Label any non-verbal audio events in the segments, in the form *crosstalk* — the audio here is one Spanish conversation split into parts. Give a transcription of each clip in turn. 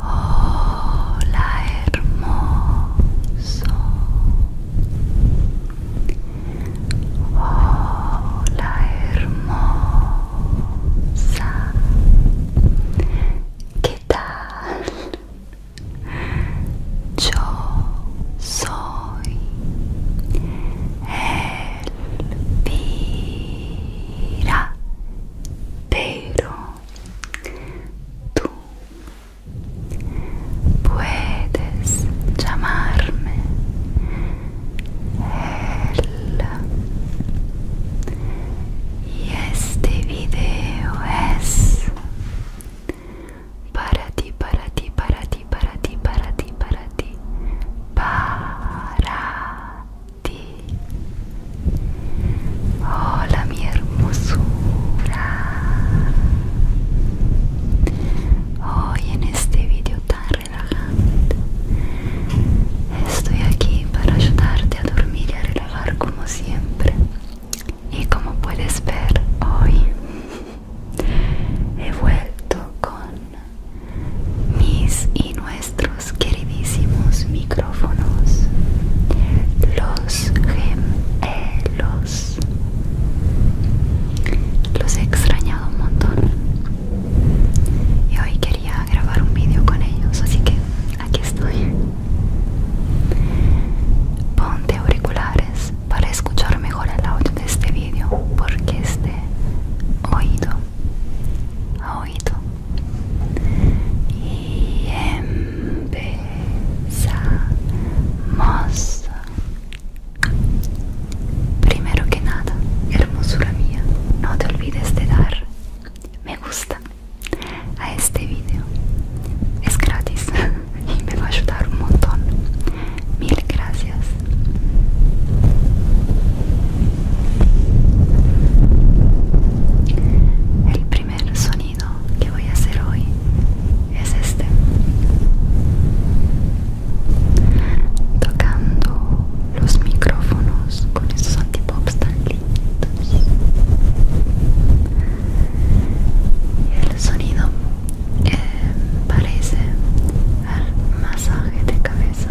Hola hermoso. Hola hermosa. ¿Qué tal? Yo soy Elvira, pero tú puedes llamarme Y este video es para ti, para ti, para ti, para ti, para ti, para ti, para ti. Hola mi hermosura. Hoy en este video tan relajante estoy aquí para ayudarte a dormir y a relajar como siempre y como puedes ver hoy he vuelto con mis y nuestros queridísimos micrófonos los gemelos los he extrañado un montón y hoy quería grabar un vídeo con ellos así que aquí estoy. Ponte auriculares para escuchar mejor el audio de este vídeo, porque es oído oído. Y empezamos. Primero que nada, hermosura mía, no te olvides de dar me gusta a este vídeo es gratis *laughs* y me va a ayudar un montón mil gracias el primer sonido que voy a hacer hoy es este tocando los micrófonos con esos antipops tan el sonido eh, parece al masaje de cabeza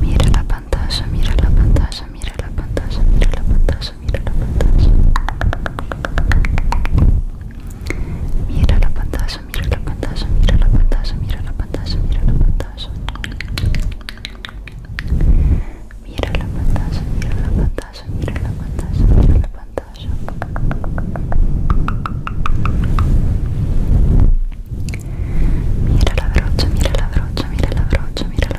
Mira la pantalla, mira la pantalla, mira la pantalla, mira la pantalla mira la pantalla mira la pantalla mira la pantalla mira la pantalla mira la pantalla mira la pantalla mira la pantalla mira la pantalla mira la mira la brocha mira la brocha mira la brocha mira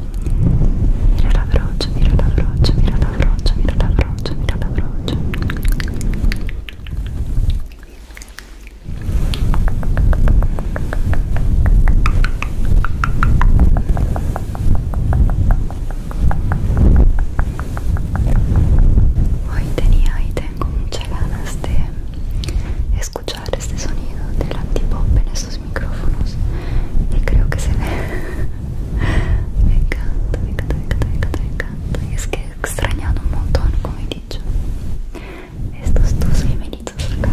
Mira la brocha, mira la brocha, mira la brocha, mira la brocha, mira la brocha. Hoy tenía y tengo muchas ganas de escuchar este sonido del antipop en estos micrófonos y creo que se ve *laughs* me encanta, me encanta, me encanta, me encanta, encanta. Y es que he extrañado un montón, como he dicho, estos dos bienvenidos acá.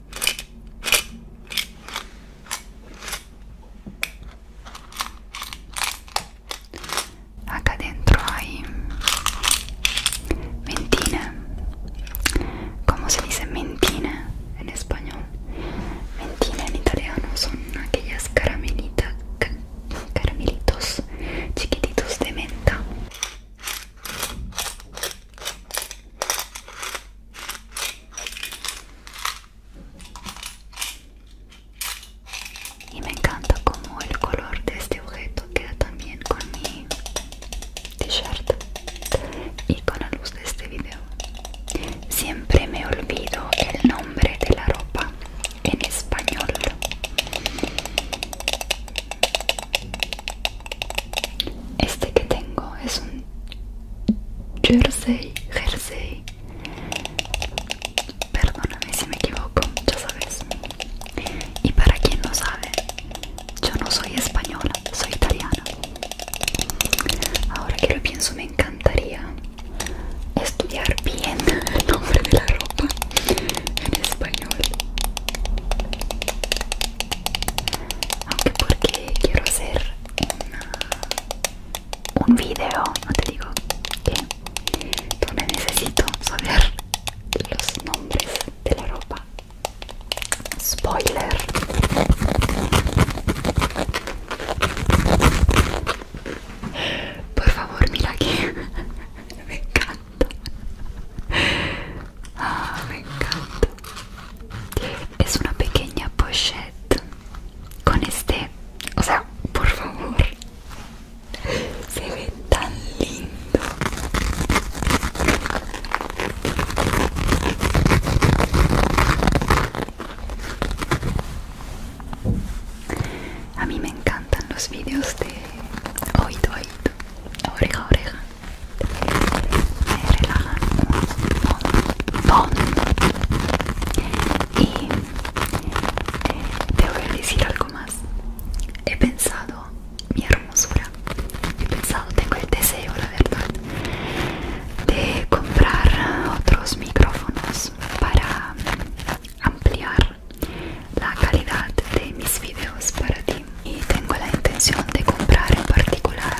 Acá dentro hay mentina. ¿Cómo se dice mentina en español? Mentina en italiano son aquellas caramelitas, caramelitos chiquititos de menta. Y me encanta como el color de este objeto queda también con mi t-shirt y con la luz de este video. Siempre me olvido el nombre de la ropa en español. Este que tengo es un jersey, jersey. Perdóname si me equivoco, ya sabes. Y para quien no sabe, yo no soy española, soy italiana. Ahora que lo pienso, me encantaría estudiar bien *laughs* el nombre de la ropa en español aunque porque quiero hacer un video no te digo que me necesito saber los nombres de la ropa spoiler por favor mira que *laughs* me encanta Ah, me encanta. Es una pequeña pochette con este, o sea, por favor, se ve tan lindo. A mí me encantan los vídeos de oído, oído, oreja, oreja y te voy a decir algo más he pensado mi hermosura he pensado tengo el deseo la verdad de comprar otros micrófonos para ampliar la calidad de mis videos para ti y tengo la intención de comprar en particular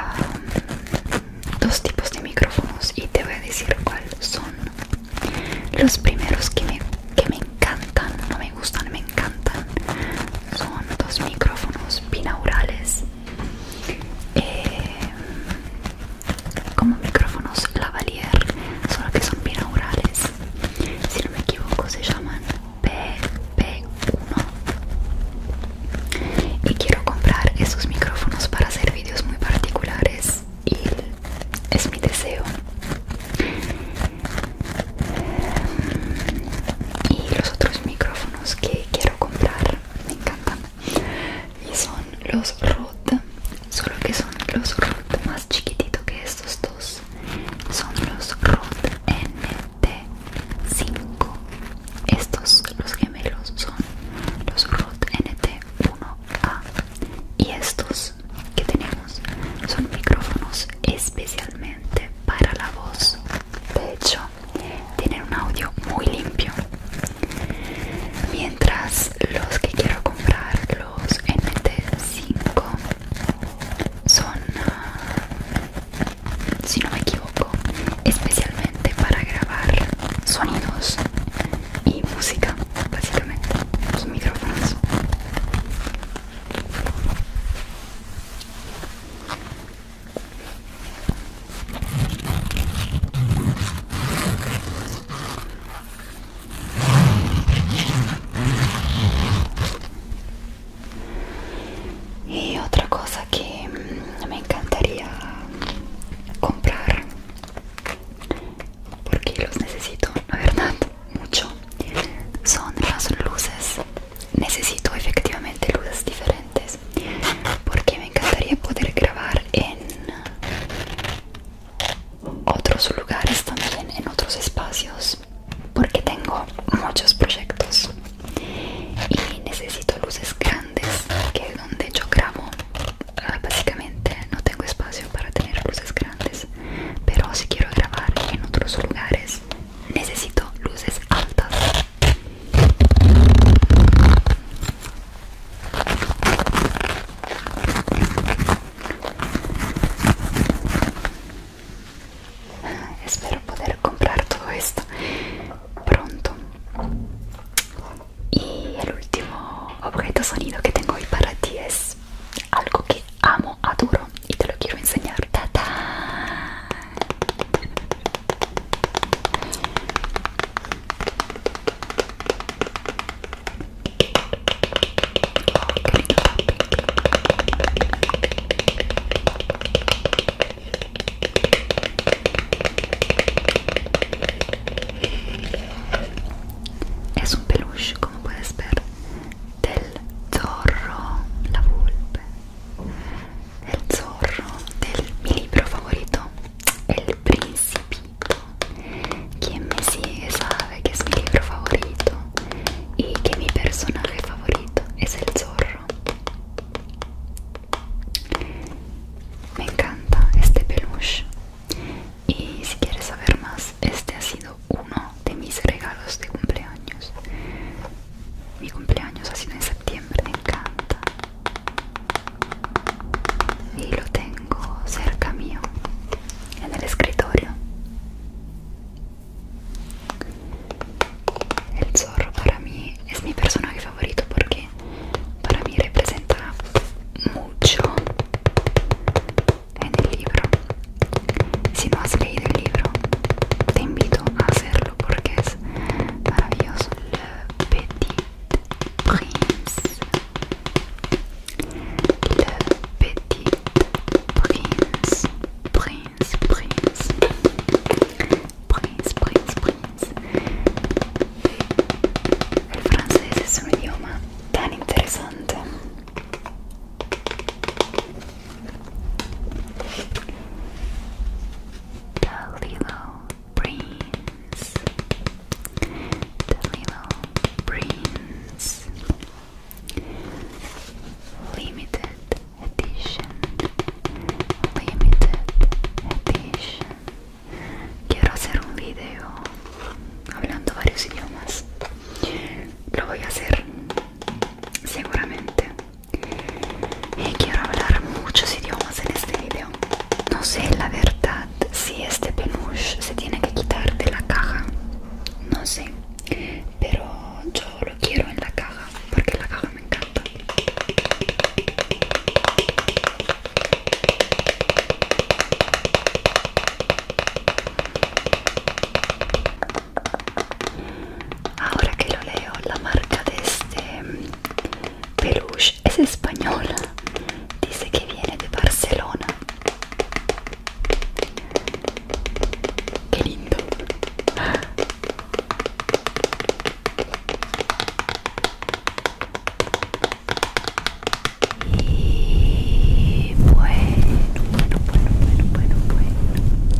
um, dos tipos de micrófonos y te voy a decir cuáles son los primeros que me, encantan no me gustan me encantan son dos micrófonos binaurales eh, como micrófonos lavalier solo que son binaurales si no me equivoco se llaman P1 y quiero comprar esos micrófonos para hacer vídeos muy particulares y es mi deseo y los otros micrófonos que quiero comprar me encantan y son los Rode solo que son los Rode más chiquititos que estos dos son los Rode NT5 estos los gemelos son los Rode NT1A y estos que tenemos son micrófonos especialmente para la voz de hecho tienen un audio muy limpio mientras los que quiero comprar los NT5 son, ah, si no me equivoco, especialmente para grabar sonidos y música, básicamente, los micrófonos y otra cosa que me encantaría comprar porque los necesito la verdad mucho son las luces necesito efectivamente luces diferentes porque me encantaría poder grabar en otros lugares también en otros espacios porque tengo muchos proyectos y necesito luces grandes que donde yo grabo ah, básicamente no tengo espacio para tener luces grandes pero si quiero grabar en otros lugares necesito luces altas Espero poder comprar todo esto pronto. Y el último objeto sonido que tengo hoy para ti es algo que amo, duro y te lo quiero enseñar. Es un peluche, como puedes ver, del zorro, la volpe. El zorro del mi libro favorito, El Principito. Quien me sigue sabe esatto. que es mi libro favorito y que mi personaje favorito es el zorro. Me encanta este peluche. Y si quieres saber más, este ha sido uno de mis regalos de cumpleaños. Mi cumpleaños ha sido en septiembre, me encanta. Y lo tengo cerca mío, en el escritorio. El zorro para mí es mi personaje favorito porque para mí representa mucho en el libro. Si no has leído el libro, te invito a hacerlo porque es maravilloso. Le Petit Prince Le Petit Prince, Prince, Prince, Prince, Prince, Prince. Il francese es un idioma tan interesante. The Little Prince, The Little Prince. Limited edition. Limited edition. Quiero hacer un video hablando varios idiomas. Lo voy a hacer seguramente. Y quiero hablar muchos idiomas en este video. No sé la verdad si este penush se tiene que quitar de la caja no sé pero yo lo quiero en la caja porque la caja me encanta ahora que lo leo la marca de este peluche es española dice que viene de Barcelona Qué lindo. Y bueno, bueno, bueno, bueno, bueno, bueno,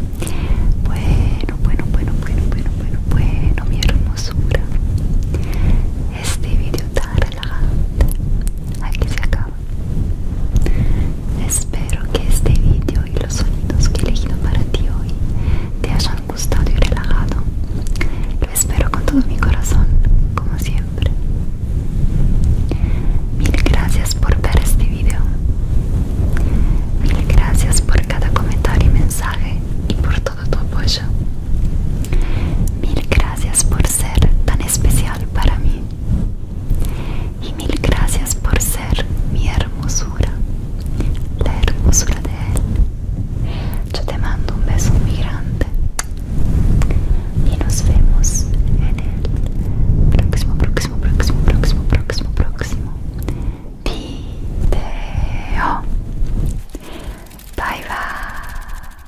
bueno, bueno, bueno, bueno, bueno, bueno, mi hermosura. Este video tarde se acaba espero que este vídeo y los sonidos que he elegido para ti hoy te hayan gustado y relajado lo espero con todo mi corazón como siempre mil gracias por ver este vídeo mil gracias por cada comentario y mensaje y por todo tu apoyo mil gracias por ser tan especial para mí. Y mil gracias por ser mi hermosura, la hermosura de Él. Yo te mando un beso muy grande y nos vemos en el próximo, próximo, próximo, próximo, próximo, próximo video. Bye bye.